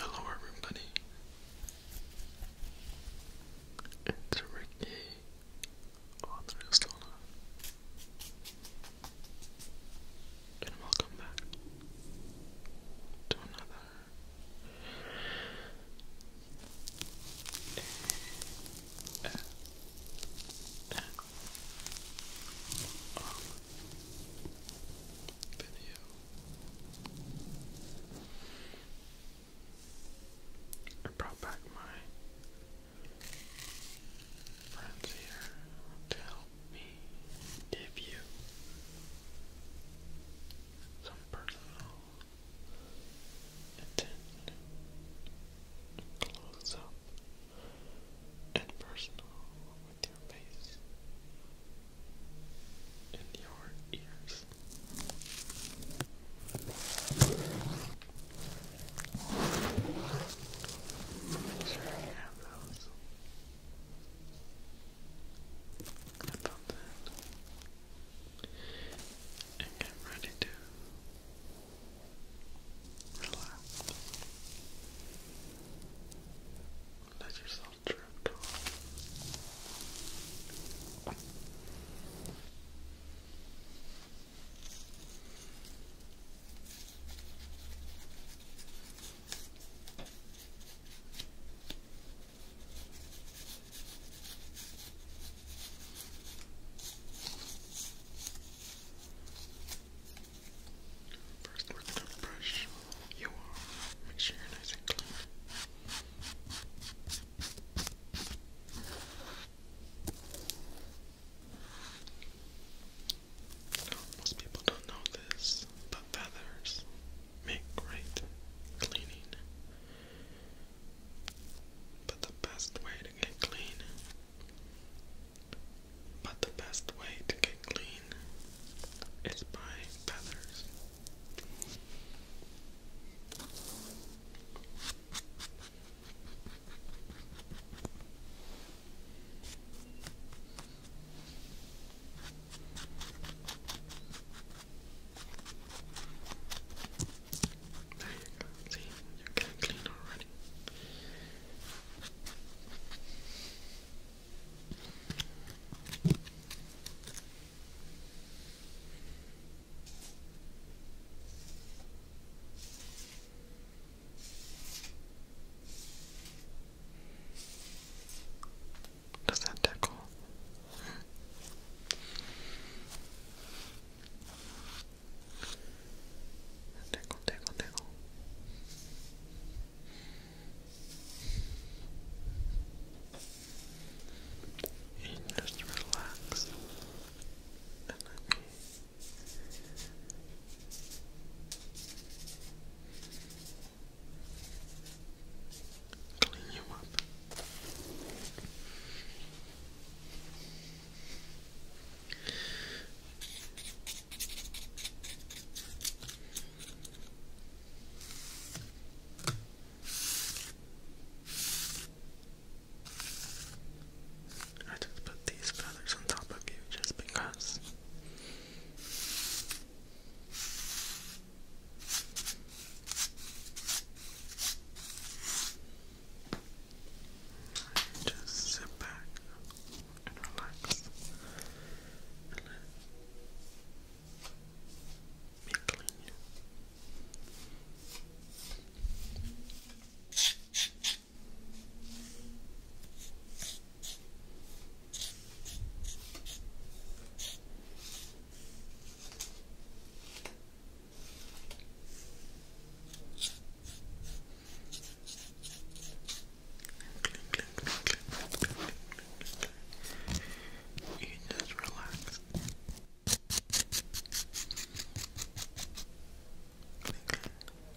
Hello, everybody. It's Ricky Author Estona. And welcome back to another video. I brought back my friends here to help me give you some personal and close up and personal with your face and your ears. sure you have those. Clip on ready to relax. Let yourself drift off. First, are brush you off. Make sure you're nice and clean. most people don't know this, but feathers make great cleaning. But the best way to get clean, but the best way to get clean is by feathers. There you go. See, you're clean already. Does that tickle? Tickle, tickle, tickle. And just relax. And let me Clean you up. I just put these feathers on top of you just because. Just sit back and relax and let clean you. You just relax.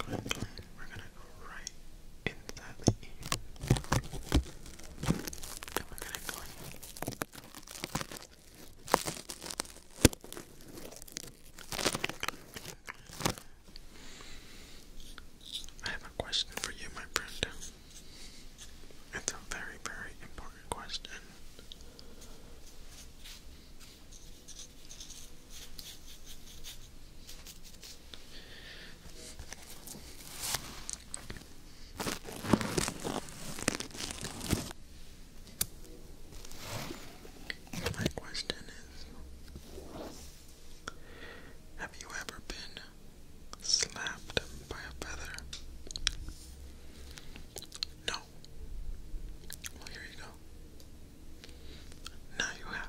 We're gonna go right I have a question for you, my friend. It's a very, very important question. My question is Have you ever been slapped by a feather? No. Well, here you go. Now you have.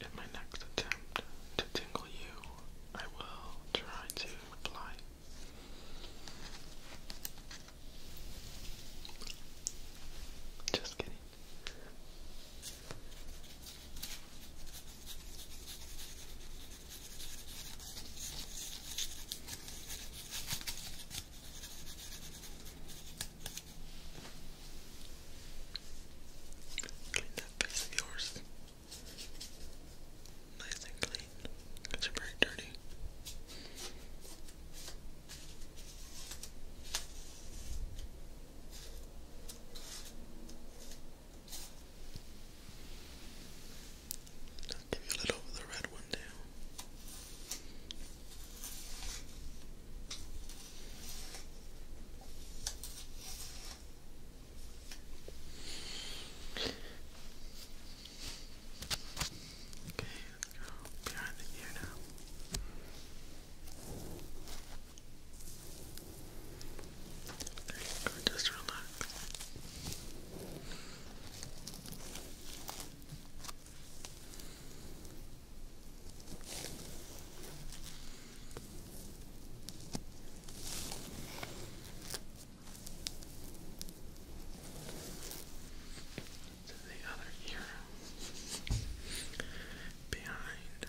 In my next attempt to tingle you, I will try to apply just kidding. Clean that face of yours. Nice and clean. Because you're very dirty. Good i give you a little of the red one too. Okay, let's go behind the ear now. There you just relax. To the other ear behind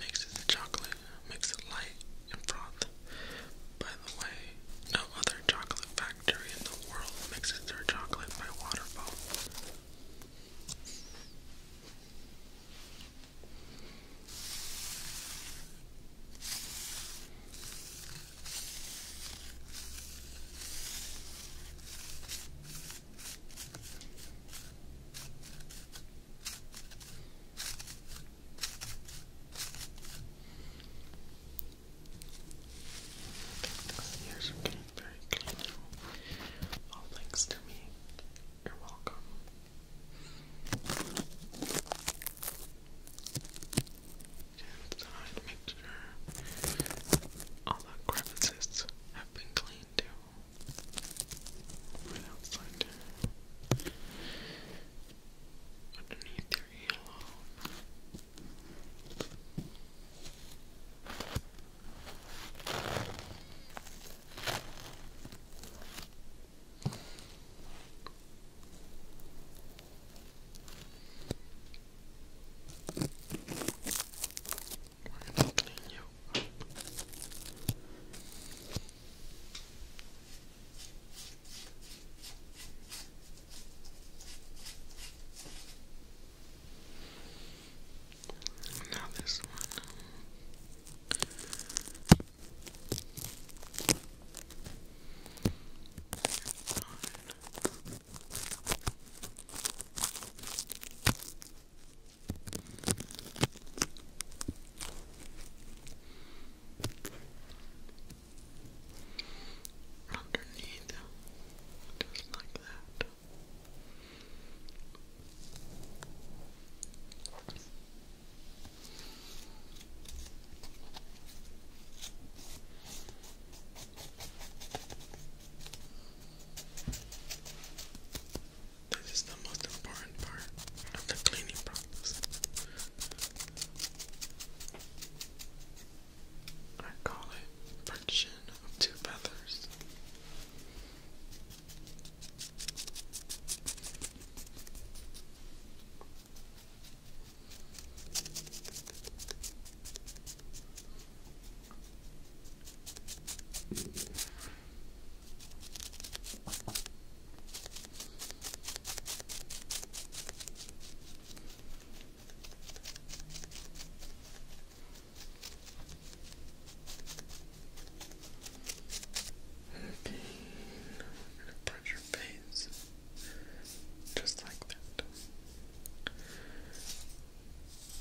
Mixes the chocolate, makes it light and froth. By the way, no other chocolate factory in the world mixes their chocolate by waterfall. The getting very clean All thanks to me. You're welcome. And so I make sure all the crevices have been cleaned too. Right outside there underneath your earlobe. We're going you now this one. Fine underneath, just like that. Just this is the most important part of the cleaning process. I call it friction of two feathers. Okay, now your face just like that.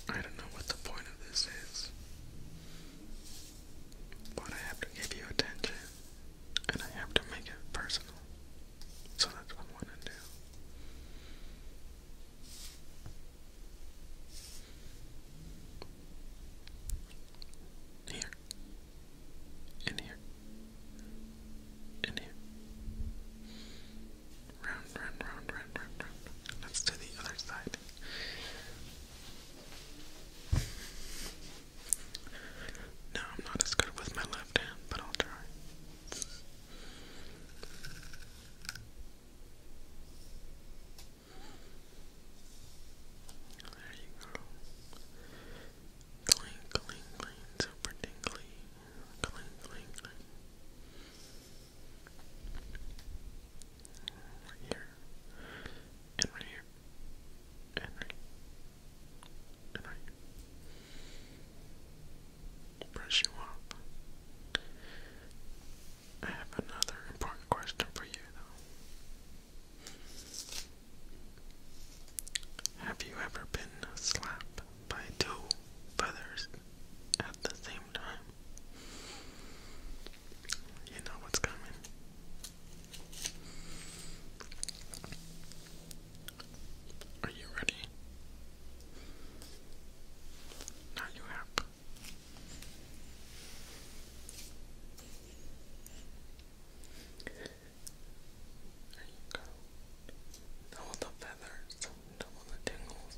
I don't know what the point of this is. But I have to give you attention and I have to make it personal. So that's what I want to do. Here, in here, in here. Round, round, round, round, round, round. Let's do the other side. No, I'm not as good with my left hand, but I'll try. There you go. Cling, cling, cling, super tingly. Cling, cling, cling. here and right here, and right, and right. Here. Brush you up. I have another important question for you, though. Have you ever been slapped by two feathers at the same time? You know what's coming. Are you ready? Now you have. There you go. Double the feathers, double the tingles.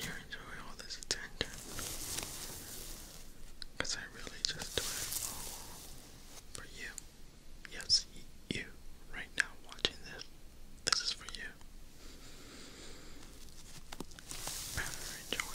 you enjoy all this attention. I really just do it all for you. Yes, you, right now, watching this. This is for you. enjoy